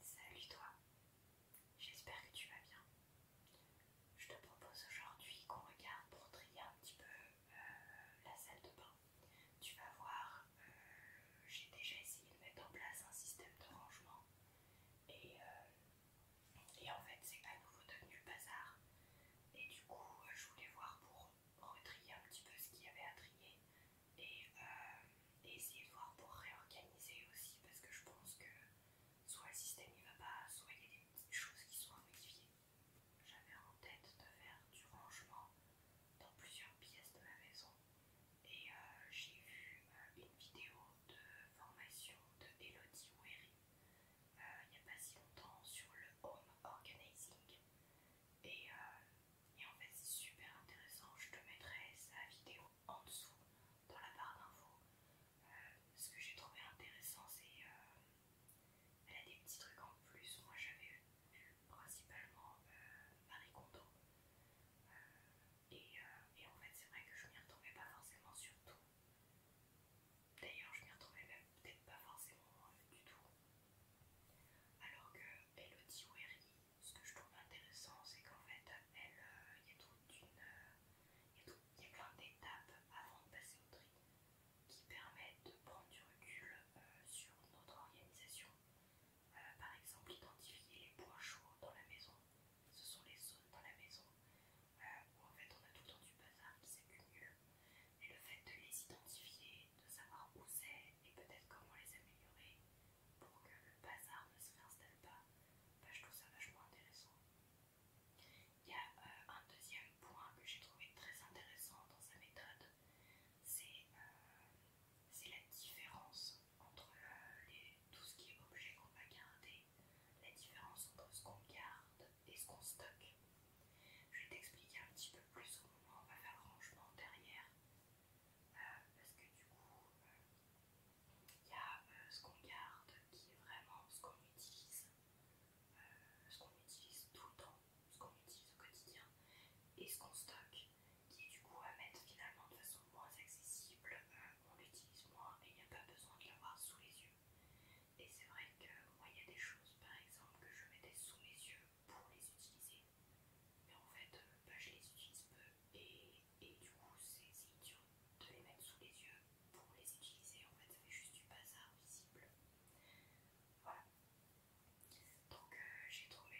Salut toi, j'espère que tu vas bien. Je te propose aujourd'hui qu'on regarde pour trier un petit peu euh, la salle de bain. Tu vas voir, euh, j'ai déjà essayé de mettre en place un système de rangement et, euh, et en fait c'est à nouveau devenu le bazar. Et du coup je voulais voir pour retrier un petit peu ce qu'il y avait à trier euh, et, essayer de voir pour réorganiser aussi parce que je pense que soit le système il va pas, soit il y a des petites choses qui sont à J'avais en tête de faire du rangement dans plusieurs pièces de ma maison et euh, j'ai vu euh, une vidéo de formation de Elodie Wery il n'y a pas si longtemps sur le home organizing et, et en fait c'est super intéressant, je te mettrai sa vidéo en dessous dans la barre d'infos. Euh, ce que j'ai trouvé intéressant, c'est euh, elle a des petits trucs en plus. Moi j'avais principalement euh, Marie et, en fait, c'est vrai que je m'y retrouvais pas forcément surtout D'ailleurs, je m'y retrouvais même peut-être pas forcément du tout. Alors que Elodie Wery ce que je trouve intéressant, c'est qu'en fait, elle, euh, il y a une, euh, il a plein d'étapes avant de passer au tri qui permettent de prendre du recul euh, sur notre organisation. par exemple, identifier les points chauds dans la maison. Ce sont les zones dans la maison où en fait on a tout le temps du bazar qui s'accumule. Et le fait de les identifier, de savoir où c'est et peut-être comment les améliorer, pour que le bazar ne se réinstalle pas. Bah, je trouve ça vachement intéressant. Il y a euh, un deuxième point que j'ai trouvé très intéressant dans sa méthode, c'est euh, la différence entre euh, tout ce qui est objet qu'on va garder, la différence entre ce qu'on garde et ce qu'on stocke. Je vais t'expliquer un petit peu plus au moment où on va faire le rangement derrière parce que du coup euh, il y a euh, ce qu'on garde qui est vraiment ce qu'on utilise, euh, ce qu'on utilise tout le temps, ce qu'on utilise au quotidien et ce qu'on stocke qui est du coup à mettre finalement de façon moins accessible, on l'utilise moins et il n'y a pas besoin de l'avoir sous les yeux. Et c'est vrai que moi il y a des choses par exemple que je mettais sous mes yeux pour les utiliser mais en fait euh, bah, je les utilise peu et, du coup c'est idiot de les mettre sous les yeux pour les utiliser en fait ça fait juste du bazar visible voilà donc euh, euh, j'ai trouvé,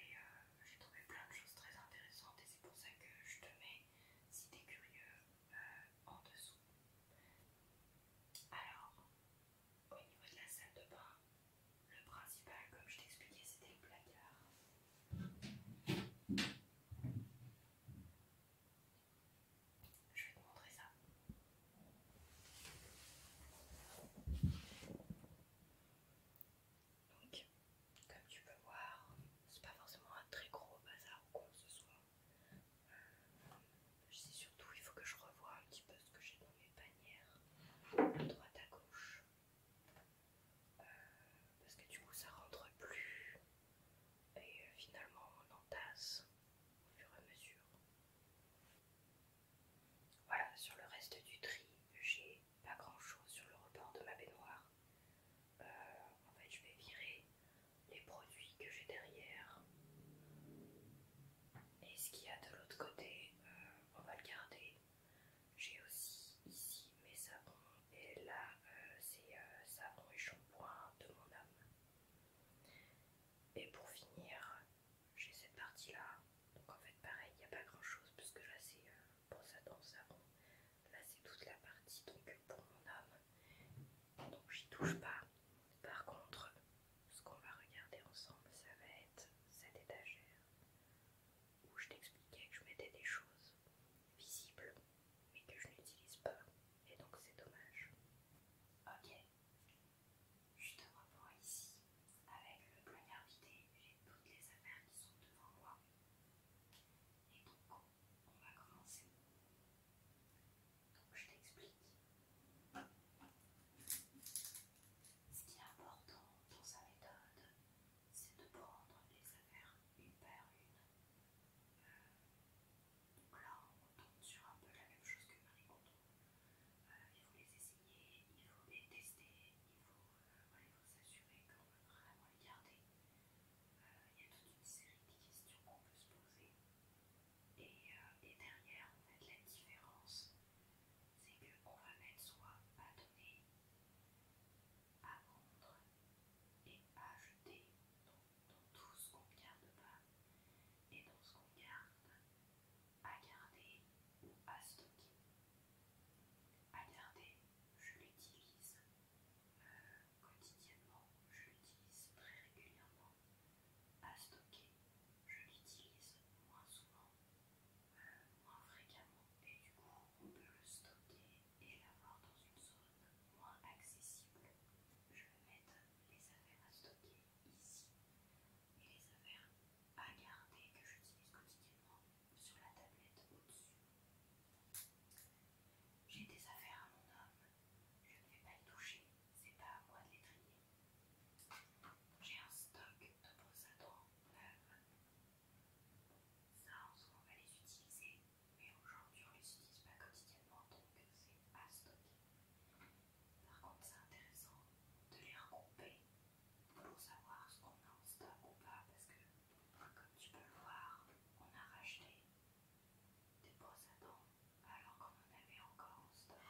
plein de choses très intéressantes et c'est pour ça que je te mets si t'es curieux en dessous alors au niveau de la salle de bain le principal, comme je t'expliquais, c'était le placard. Je vais te montrer ça. Donc, comme tu peux voir, c'est pas forcément un très gros bazar ou quoi que ce soit. Je euh, sais surtout, il faut que je revoie un petit peu ce que j'ai dans mes panières, de droite à gauche parce que du coup ça rentre plus et euh, finalement on entasse au fur et à mesure. Voilà, sur le reste du tri, j'ai pas grand chose sur le rebord de ma baignoire. Euh, en fait, je vais virer les produits que j'ai derrière. Et ce qu'il y a de l'autre côté, euh, on va le garder. J'ai aussi ici mes savons et là euh, c'est ça euh, savon et shampoing de mon âme. Et pour finir, j'ai cette partie là. Donc en fait pareil, il n'y a pas grand chose parce que là c'est euh, pour ça dans Là c'est toute la partie donc pour mon âme. Donc j'y touche pas. Par contre, ce qu'on va regarder ensemble, ça va être cette étagère où je t'expliquais que je mettais des choses visibles mais que je n'utilise pas et donc c'est dommage. Ok, je te reprends ici. Avec le poignard vidé, j'ai toutes les affaires qui sont devant moi. Et donc, on va commencer. Donc, je t'explique. Ce qui est important dans sa méthode, c'est de prendre les affaires une par une. Euh, donc là, on retombe sur un peu la même chose que Marie euh, il faut les essayer, il faut les tester, il faut euh, s'assurer qu'on peut vraiment les garder. il y a toute une série de questions qu'on peut se poser. Et, derrière on derrière, en la différence, c'est qu'on va mettre soit à donner, à vendre et à jeter dans, tout ce qu'on garde pas et dans ce qu'on garde à garder ou à stocker. À garder, je l'utilise euh, quotidiennement, je l'utilise très régulièrement. À stocker, je l'utilise moins souvent moins fréquemment et du coup on peut le stocker et l'avoir dans une zone moins accessible. Je vais mettre les affaires à stocker ici et les affaires à garder que j'utilise quotidiennement sur la tablette au-dessus. J'ai des affaires à mon homme, je ne vais pas les toucher, c'est pas à moi de les trier. J'ai un stock de brosses à ça, en soi, on va les utiliser, mais aujourd'hui, on les utilise pas quotidiennement, donc c'est à stocker. Par contre, c'est intéressant de les regrouper pour savoir ce qu'on a en stock ou pas, parce que, comme tu peux le voir, on a racheté des brosses à dents alors qu'on en avait encore en stock.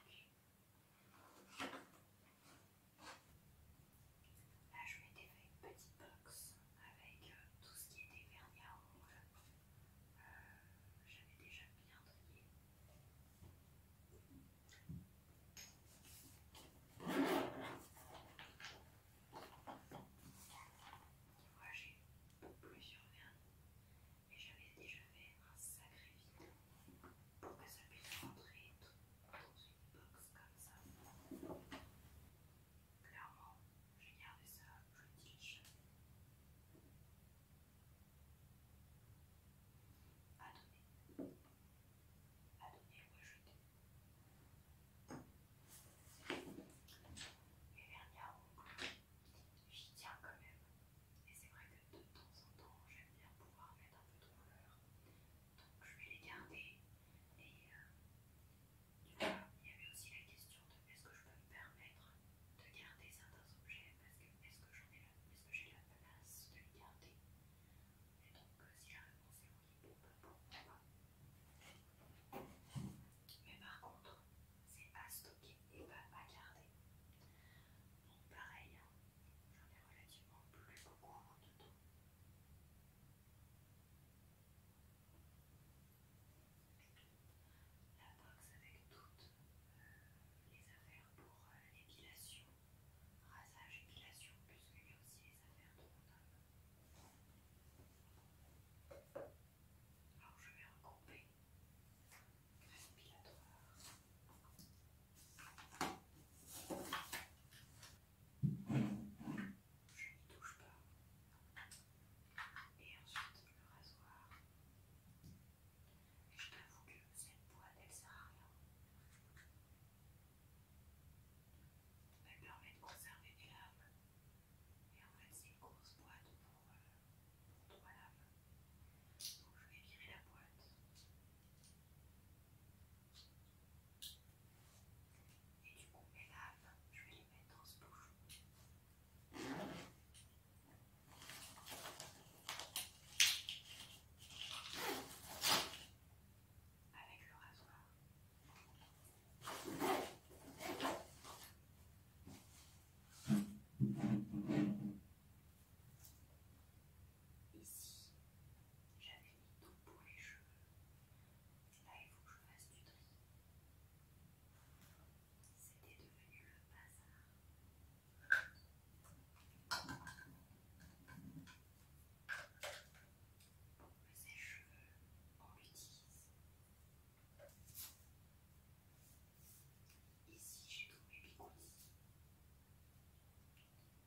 Là, je mettais une petite box avec euh, tout ce qui était vernis à ongles. Euh, j'avais déjà bien trié. Tu j'ai plusieurs vernis et j'avais déjà fait un sacré vide pour que ça puisse rentrer dans une box comme ça Clairement, j'ai gardé ça je À donner. À donner ou je Et Les vernis j'y tiens quand même. Et c'est vrai que de temps en temps, j'aime bien pouvoir mettre un peu de couleur. Donc je vais les garder Et euh, il y avait aussi la question de est-ce que je peux me permettre de garder certains objets parce que est-ce que j'ai la place de les garder Et donc euh, si la réponse est oui, bon, bah, pas. Mais par contre, c'est à stocker et pas à garder. Donc pareil, hein, j'en ai relativement plus beaucoup de temps. La box avec toutes les affaires pour l'épilation, rasage, épilation, puisqu'il y a aussi les affaires de Alors je vais regrouper respiratoire je n'y touche pas. Et ensuite le rasoir. je t'avoue que cette boîte elle sert à rien. Elle permet de conserver des lames. Et en fait c'est une grosse boîte pour, trois lames. Donc je vais virer la boîte. Et du coup, mes laves, je vais les mettre dans ce bouchon. Avec le rasoir. Ici, j'avais mis tout pour les cheveux, là il faut que je fasse du tri. C'était devenu le bazar. que ces cheveux on l'utilise. Ici j'ai tous les bigoudis.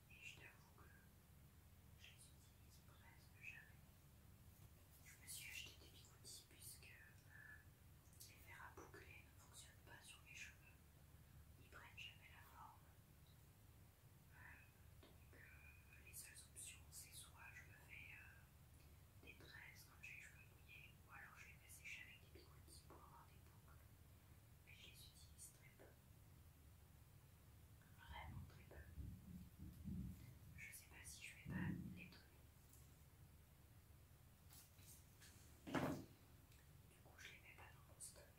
Et je t'avoue que je les utilise presque jamais. Je me suis acheté des bigoudis puisque les verres à boucler ne fonctionnent pas sur mes cheveux. Ils prennent jamais la forme. donc les seules options c'est soit je me fais des tresses quand j'ai les cheveux mouillés ou alors je les fais sécher avec des bigoudis pour avoir des boucles. Mais je les utilise très peu. Vraiment très peu. Je sais pas si je vais pas les donner. Du coup, je les mets pas dans mon stock.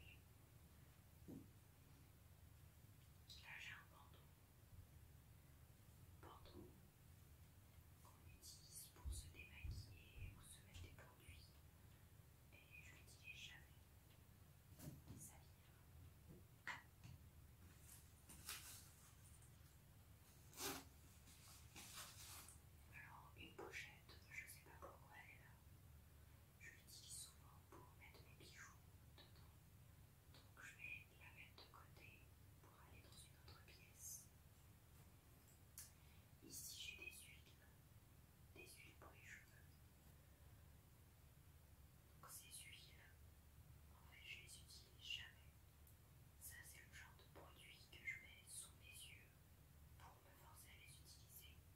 Là, j'ai un bandeau. Bandeau qu'on utilise pour se démaquiller, ou se mettre des produits et je ne jamais sa Alors, une pochette, je ne sais pas pourquoi elle est là. Je l'utilise souvent pour mettre mes bijoux dedans. Donc, je vais la mettre de côté pour aller dans une autre pièce. Ici, j'ai des huiles, des huiles pour les cheveux. Ces huiles, en fait, je les utilise jamais. Ça, c'est le genre de produit que je mets sous mes yeux pour me forcer à les utiliser.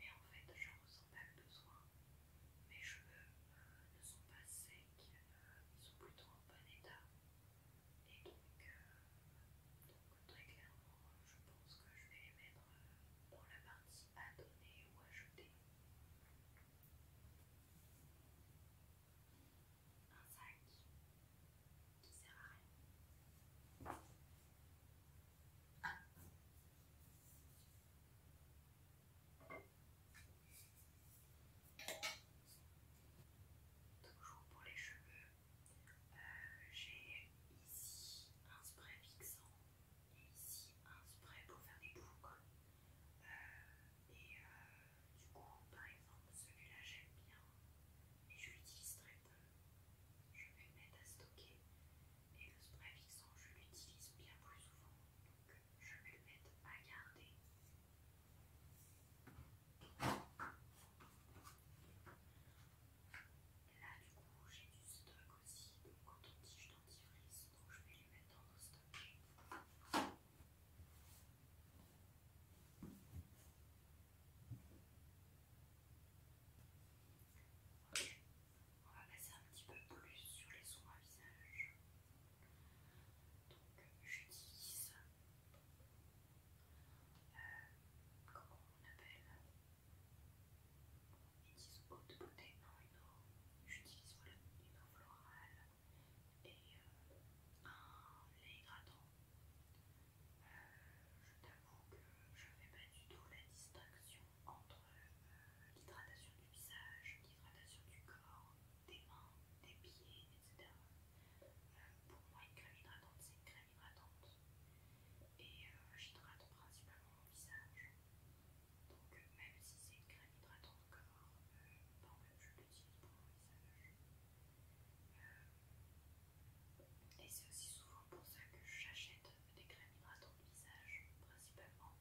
Mais en fait, je ressens pas le besoin. Mes cheveux euh, ne sont pas secs, euh, ils sont plutôt en bon état. Et donc, euh, très clairement, je pense que je vais les mettre pour la partie à donner ou à jeter. Un sac qui sert à rien. Toujours pour les cheveux, euh, j'ai ici un spray fixant et ici un spray pour faire des boucles. Euh, et euh, du coup, par exemple, celui-là j'aime bien mais je l'utilise très peu. Je vais le mettre à stocker et le spray fixant je l'utilise bien plus souvent donc je vais le mettre à garder. Là, du coup, j'ai du stock aussi, donc quand on dentifrice, donc je vais les mettre dans nos stock Ok, on va passer un petit peu plus sur les soins à visage. Donc j'utilise, euh, comment on appelle, J'utilise eau de beauté, non une eau, j'utilise une eau florale et euh, un lait hydratant. Euh, je t'avoue que je ne fais pas du tout la distinction entre euh, l'hydratation du visage, l'hydratation du corps, des mains, des pieds, etc. pour moi, une crème hydratante, c'est crème hydratante et euh, j'hydrate principalement mon visage donc euh, même si c'est une crème hydratante corps euh, je l'utilise pour mon visage et c'est aussi souvent pour ça que j'achète des crèmes hydratantes visage principalement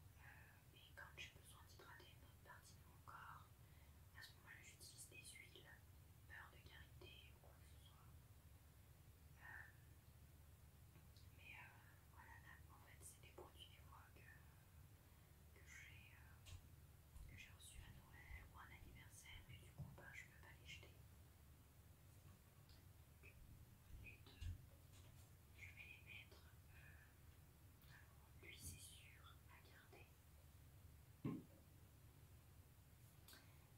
et quand j'ai besoin d'hydrater une autre partie de mon corps à ce moment là j'utilise des huiles beurre de karité ou quoi que ce soit mais euh, voilà, là, en fait, c'est des produits des fois que, j'ai reçu reçus à Noël ou un anniversaire, mais du coup, bah, je ne peux pas les jeter. Donc, je vais les mettre. Euh, alors, lui, c'est sûr à garder.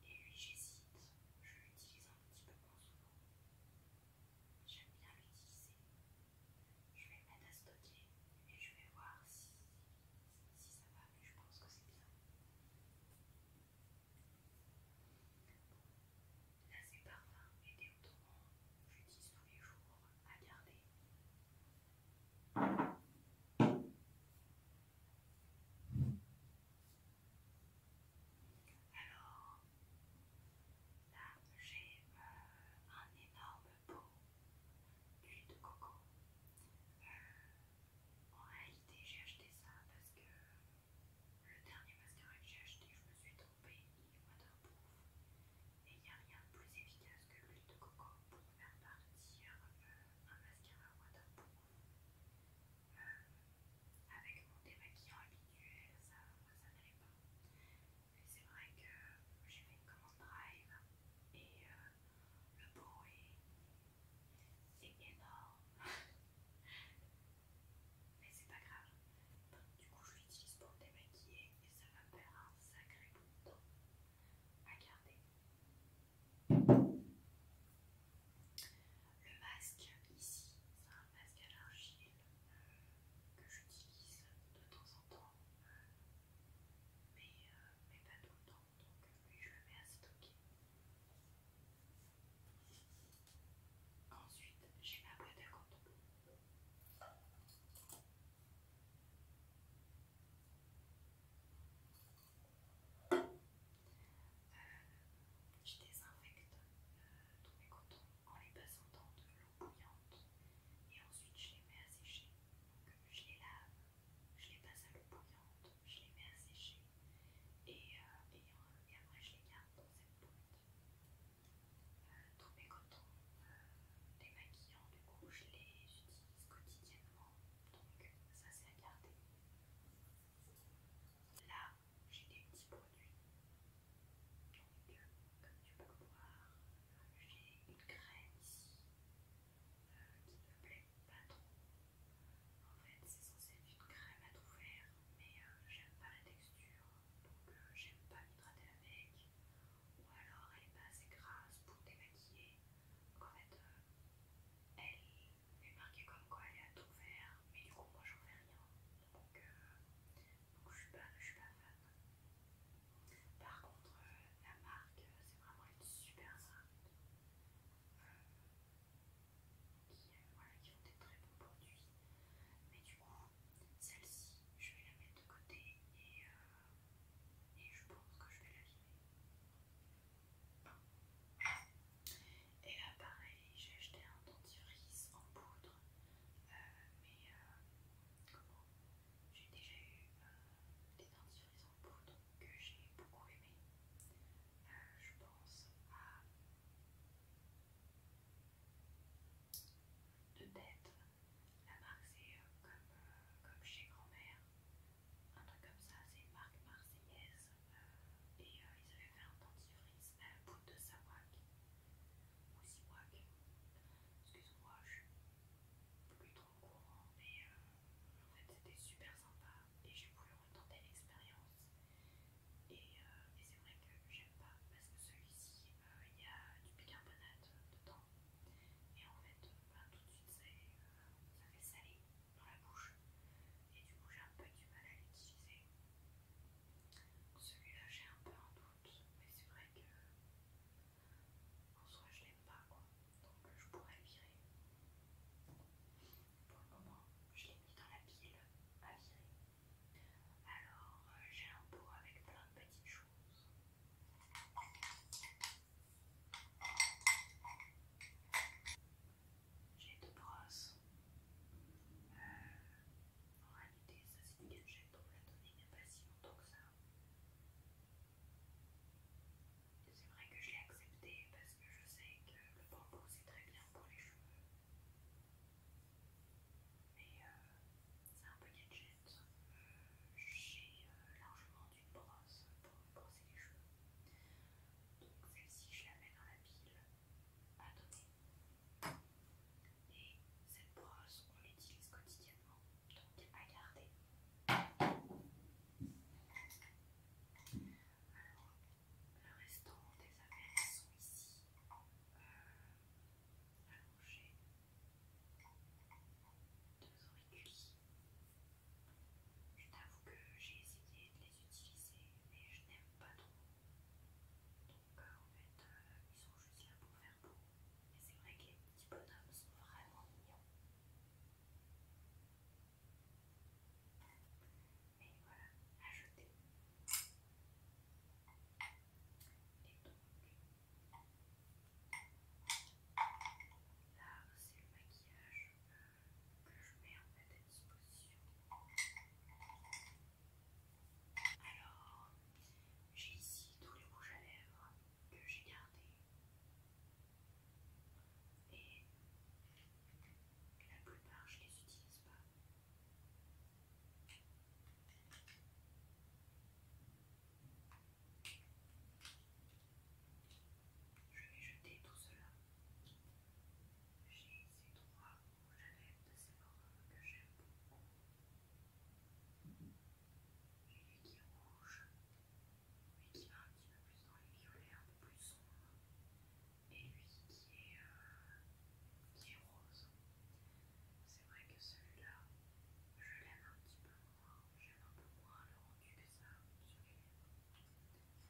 Et lui, j'hésite, je l'utilise un petit peu moins souvent. J'aime bien l'utiliser. Je vais le mettre à stocker et je vais voir si, ça va, mais je pense que c'est bien. Là, c'est parfum et que j'utilise tous les jours à garder. Alors, là, j'ai euh, un énorme pot d'huile de coco. Euh, en réalité, j'ai acheté ça parce que le dernier mascara que j'ai acheté, je me suis trompée, il est waterproof. Et il n'y a rien de plus efficace que l'huile de coco pour faire partir euh, un mascara waterproof avec mon démaquillant habituel, ça, ça n'allait pas. mais c'est vrai que j'ai fait une commande drive et euh, le bruit est énorme. Mais c'est pas grave. du coup, je l'utilise pour démaquiller et ça va me faire un sacré bout de temps à garder. Le masque ici, c'est un masque à l'argile euh, que j'utilise de temps en temps, mais, euh, pas tout le temps, donc je le mets à stocker. Ensuite, j'ai ma boîte à contour. Euh, je désinfecte euh, tous mes cotons en les passant dans de l'eau bouillante et ensuite je les mets à sécher. Euh, je les lave, je les passe à l'eau bouillante, je les mets à sécher et, après je les garde dans cette boîte. tous mes cotons les démaquillants, du coup je les utilise quotidiennement donc ça c'est à garder. Là, j'ai des petits produits. comme tu peux le voir, j'ai une crème ici euh, qui me plaît pas trop. En fait, c'est censé être une crème à tout faire, mais euh, j'aime pas la texture, donc euh, j'aime pas m'hydrater avec. Ou alors, elle est pas assez grasse pour démaquiller. Donc, en fait, elle mais marqué comme quoi elle est tout faire, mais du coup moi j'en fais rien, donc, euh, je suis pas, suis pas fan. Par contre euh, la marque, euh, c'est vraiment une super marque qui, ont des très bons produits, mais du coup celle-ci je vais la mettre de côté et, je pense que je vais la vider. Et pareil, j'ai acheté un dentifrice en poudre, euh, mais euh, comment J'ai déjà eu euh, des dentifrices en poudre que j'ai beaucoup aimé. je pense à de tête. La marque c'est comme, chez grand-mère un truc comme ça, c'est Marc marque euh, et euh, ils avaient fait un dentifrice à euh, la de Sawak ou Siwak, excuse-moi, je suis plus trop courant, mais en fait c'était super sympa et j'ai voulu retenter l'expérience. Et, c'est vrai que j'aime pas parce que celui-ci il y a du bicarbonate dedans et en fait bah, tout de suite ça, fait salé dans la bouche et du coup j'ai un peu du mal à l'utiliser. Celui-là j'ai un peu un doute mais c'est vrai que en soi je l'aime pas quoi donc je pourrais virer. Pour le moment je l'ai mis dans la pile à virer. Alors euh, j'ai un pot avec plein de petites choses j'ai deux brosses. Euh, en réalité, ça c'est une gadget, donc la donnée n'est pas si longtemps que ça. C'est vrai que je l'ai accepté parce que je sais que le bambou c'est très bien pour les cheveux. Mais euh, c'est un peu gadget. Euh, j'ai euh, brosse pour brosser les cheveux. Donc celle-ci, je la mets dans la pile à donner. Et cette brosse, on l'utilise quotidiennement, donc à garder. Alors, le restant des affaires sont ici euh, allongées. Deux auriculis je t'avoue que j'ai essayé de les utiliser, mais je n'aime pas trop. Donc euh, en fait, euh, ils sont juste là pour faire beau. Et c'est vrai que les petits bonhommes sont vraiment mignons. Et voilà, à Et donc, là, c'est le maquillage. Euh, que je mets en tête à disposition. Alors, j'ai ici tous les rouges à lèvres que j'ai gardés. Et la plupart, je les utilise pas. Je vais jeter tout cela. J'ai ces trois rouges à lèvres de que j'aime beaucoup. J'ai qui qui rouge mais qui va un petit peu plus dans les violets, un peu plus sombre. Et lui qui est, euh, qui est rose. C'est vrai que celui-là, je l'aime un petit peu moins. J'aime un peu moins le rendu des ça sur les lèvres.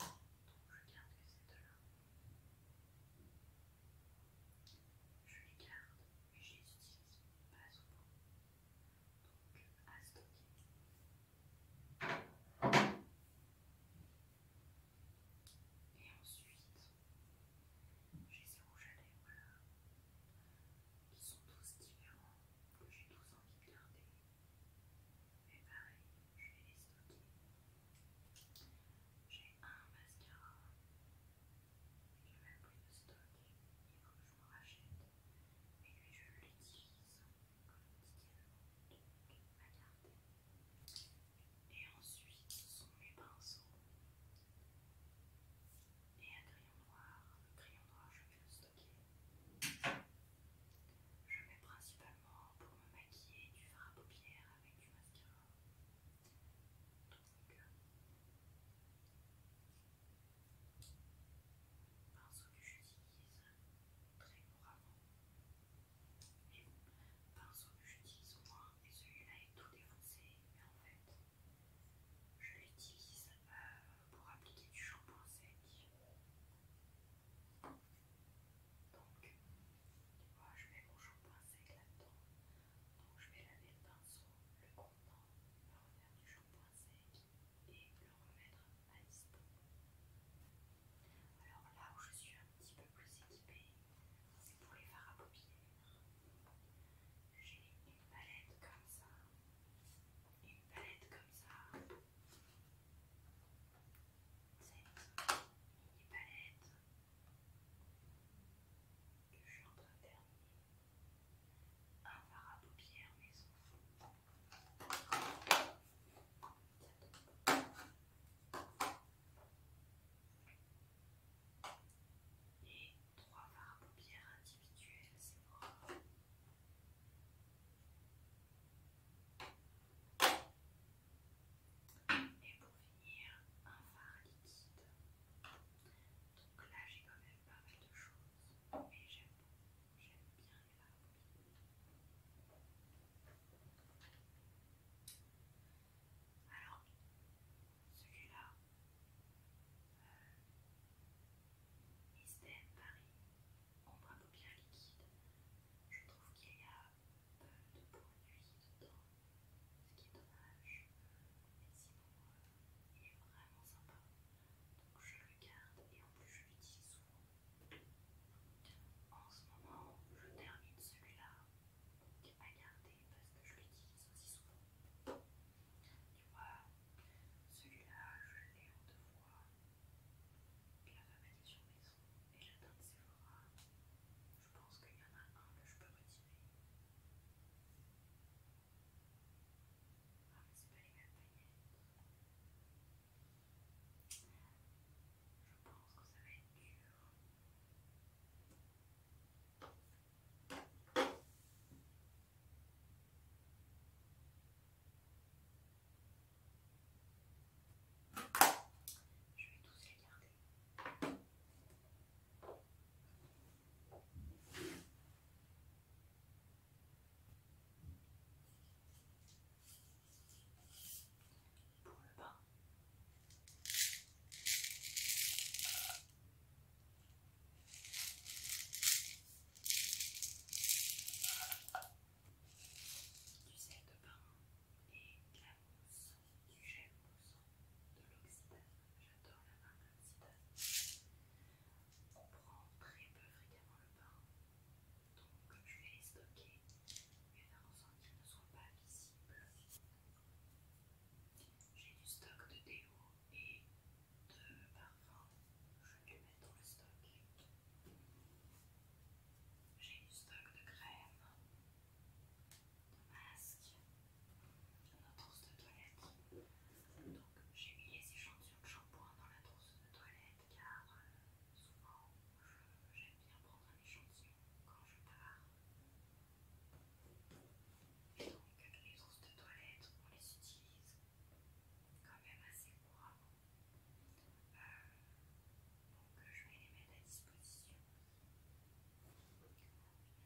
Donc je garde que deux là. Je les garde, mais je les utilise pas souvent. Donc à stocker. Et ensuite, j'ai ces rouges à lèvres là, qui sont tous différents, que j'ai tous envie de garder. Mais pareil, je vais les stocker. J'ai un mascara. je vais plus de stock. Il faut que je me rachète. Mais lui, je l'utilise quotidiennement. Donc, ma Et ensuite, ce sont mes pinceaux. Et un crayon noir. Le crayon noir, je fais le stock. Je mets principalement pour me maquiller du fard à paupières avec du mascara. Donc, pinceau euh, que j'utilise très couramment. bon, pinceau que j'utilise au moins, et celui-là est tout défoncé, mais en fait, je l'utilise euh, pour appliquer du shampoing sec. Donc, tu vois, je mets mon shampoing sec là-dedans. Donc, je vais laver le pinceau, le contenant, le refaire du shampoing sec et le remettre à disposition Alors là où je suis un petit peu plus équipée, c'est pour les fards à paupières. J'ai une palette comme ça, une palette comme ça, cette mini palette que je suis en train de terminer. Un fard à paupières maison. Et trois fards à paupières individuels, c'est bon. Et pour finir, un fard liquide. Donc là, j'ai quand même pas mal de choses. Et j'aime j'aime bien les Alors, celui-là, Mystène euh, Paris en liquide. Je trouve qu'il y a peu de produits dedans, ce qui est dommage. Mais sinon, euh, il est vraiment sympa. Donc je le garde et en plus je l'utilise souvent. En ce moment, je termine celui-là à garder parce que je l'utilise aussi souvent. Tu vois, celui-là, je l'ai en deux fois. La femme a dit sur mes sons et la teinte Sephora. Je pense qu'il y en a un que je peux retirer. Ah, mais c'est pas les mêmes paillettes. Je pense que ça va être dur. Je vais tous les garder. Pour le bas du sel de pain et de la mousse, du gel moussant, de l'oxydate. J'adore la marque oxydane. On prend très peu fréquemment le pain donc je vais les stocker, je vais faire en sorte qu'ils ne soient pas visibles. J'ai du stock de déo et de parfum, je vais mettre dans le stock. J'ai du stock de crème, de masque, dans la trousse de toilette. Donc j'ai mis les échantillons de shampoing dans la trousse de toilette car souvent j'aime bien prendre un échantillon quand je pars. Et donc les trousses de toilette, on les utilise quand même assez couramment. Euh, donc je vais les mettre à disposition.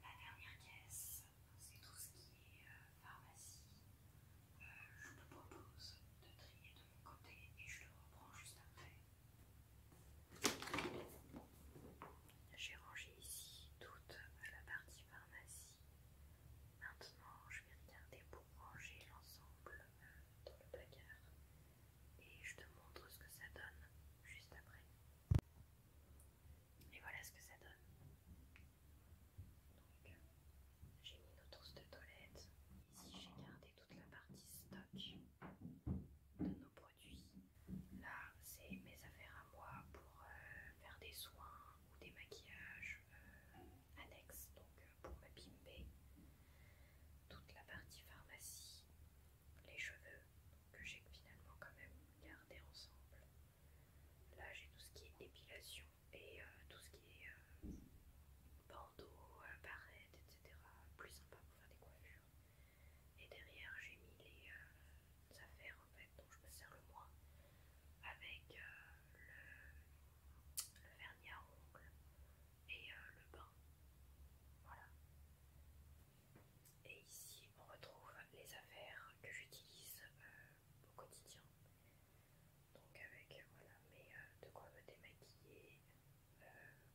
La dernière caisse, c'est tout ce qui est euh, pharmacie. Euh, je te propose de trier de mon côté et je le reprends juste après. J'ai rangé ici toute la partie pharmacie. Maintenant, je vais regarder pour ranger l'ensemble euh, dans le placard et je te montre ce que ça donne juste après. Et voilà ce que ça donne. Donc, j'ai mis nos trousses de toilette. Ici, j'ai gardé toute la partie stock de nos produits. Là, c'est mes affaires à moi pour euh, faire des soins ou des maquillages euh, annexes. Donc, pour ma pimper. Toute la partie pharmacie, les cheveux que j'ai finalement quand même gardé ensemble. Là j'ai tout ce qui est épilation et euh, tout ce qui est euh, bandeau, euh, barrettes, etc. Plus sympa pour faire des coiffures. Et derrière j'ai mis les affaires en fait dont je me sers le moins avec le le vernis à ongles et euh, le bain. Voilà. Et ici, on retrouve les affaires que j'utilise euh, au quotidien. Donc avec voilà, euh, de quoi me démaquiller,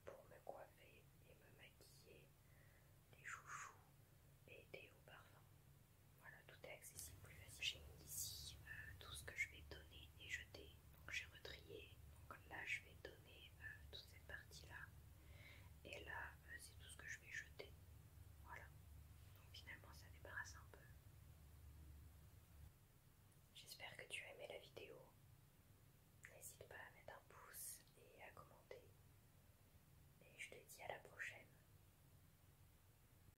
pour me coiffer et me maquiller, des chouchous et des hauts parfums. Voilà, tout est accessible plus facile. J'ai mis ici euh, tout ce que je vais donner et jeter. Donc j'ai retrié. Donc là, je vais donner euh, toute cette partie-là. Et là, euh, c'est tout ce que je vais jeter. Voilà. Donc finalement, ça débarrasse un peu. J'espère que tu as aimé la vidéo. N'hésite pas à mettre un pouce et à commenter. Et je te dis à la prochaine.